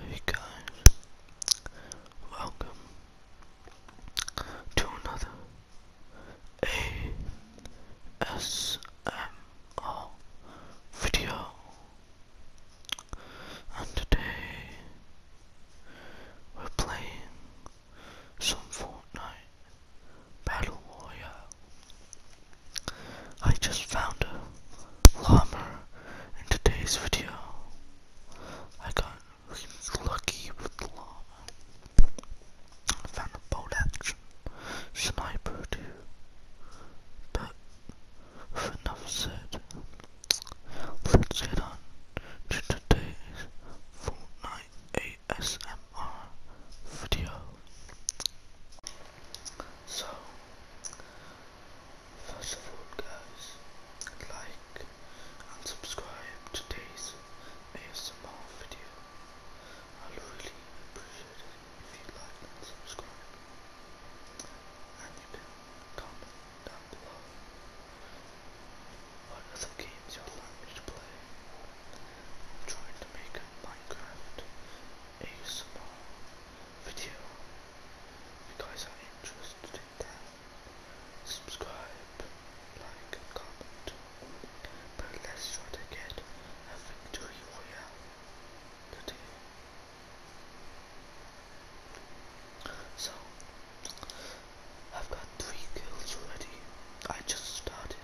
Hey guys, welcome to another ASMR video, and today we're playing some Fortnite Battle Royale. I just found a llama in today's video. I got lucky with the llama. I found a bolt action sniper too. But enough said, let's get on to today's Fortnite ASMR video. So, first of all, guys, like and subscribe to today's ASMR video. I'll really appreciate it if you like and subscribe. And you can comment down below what other games you'd like me to play trying to make a Minecraft video. If you guys interested in that, subscribe, like, comment. But let's try to get a victory royale So, I've got three kills already. I just started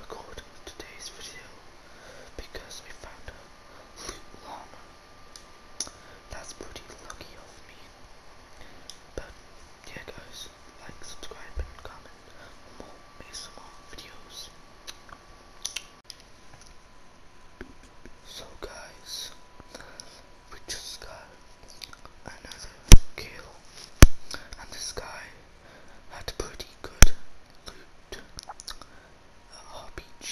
record today's video because I found a loot llama. That's pretty lucky of me. But yeah guys, like, subscribe and comment for more ASMR videos. So guys, we just got another kill. And this guy had pretty good loot. A RPG,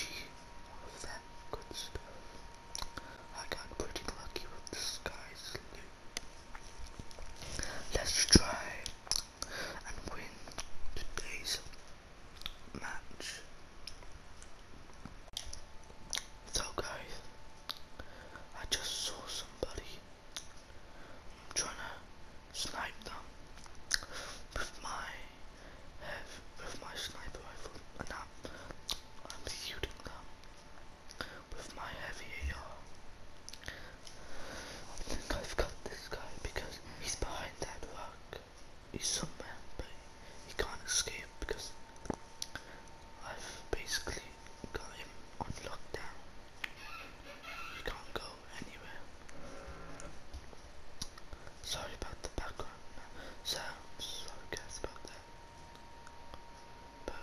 all of that good stuff. I got pretty lucky with this guy's loot. Let's try and win today's match. So guys, I just saw somebody I'm trying to snipe them with my with my sniper rifle, and i I'm shooting them with my heavy AR. I think I've got this guy because he's behind that rock. He's somewhere, but he can't escape because I've basically got him on lockdown. He can't go anywhere. Sorry about the background sounds, sorry guys about that. But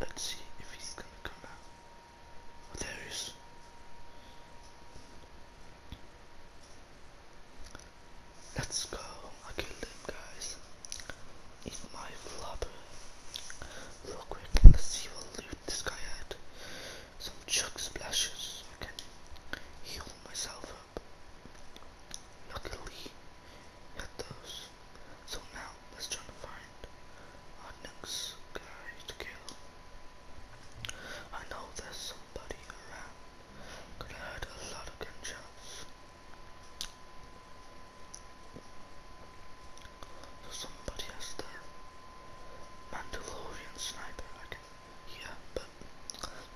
let's see if he's gonna come out. there he is. Let's go. I killed him, guys. Eat my flopper. Real quick, let's see what loot this guy had. Some chuck splashes. I can heal myself up. Luckily, had those. So now, let's try to find our next to kill. I know there's somebody around. Could hurt a lot of gunshots. So somebody has the Mandalorian sniper, yeah, but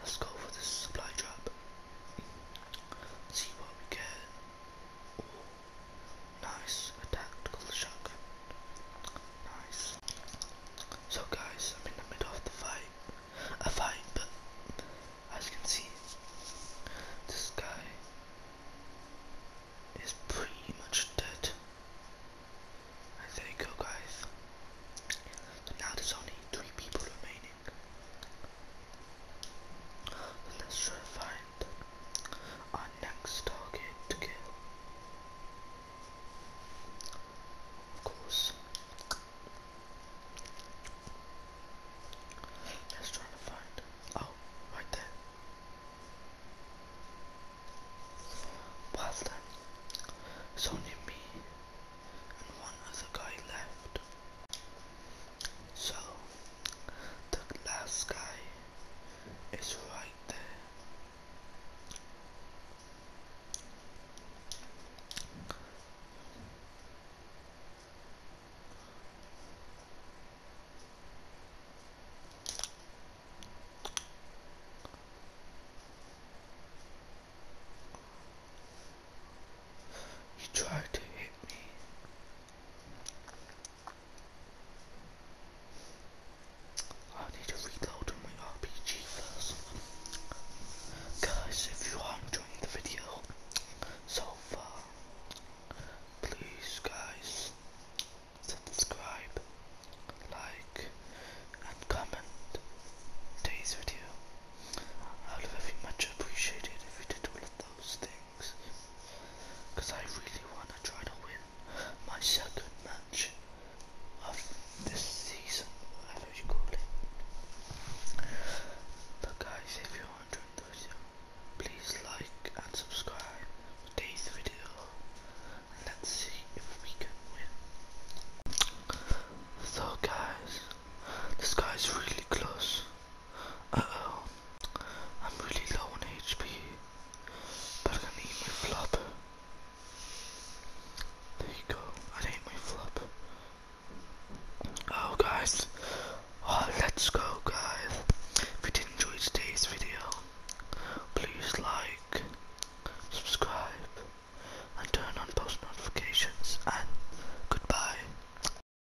let's go for this supply drop. See what we get. nice, a tactical shotgun. Nice. So guys, I'm in the middle of the fight, a fight, but as you can see, this guy is pretty much dead. there you go guys. now there's only three people remaining. So let's try to find our next target to kill. Close. Just trying to find. Oh, right there. Well then, it's only me and one other guy left. So, the last guy is right there. He tried to hit me. I need to reload my RPG first. Guys, if you are enjoying the video so far, please guys, subscribe, like, and comment today's video. I would very much appreciated if you did all of those things. Because I really want to try to win my second match of this season, whatever guys, if you're enjoying the video, please like and subscribe to today's video. let's see if we can win. So guys, this guy's really close. Uh oh. I'm really low on HP. But I need my flop. There you go. I need my flop. Oh guys. Oh, let's go guys. If you did enjoy today's video, please like, subscribe, and turn on post notifications and goodbye.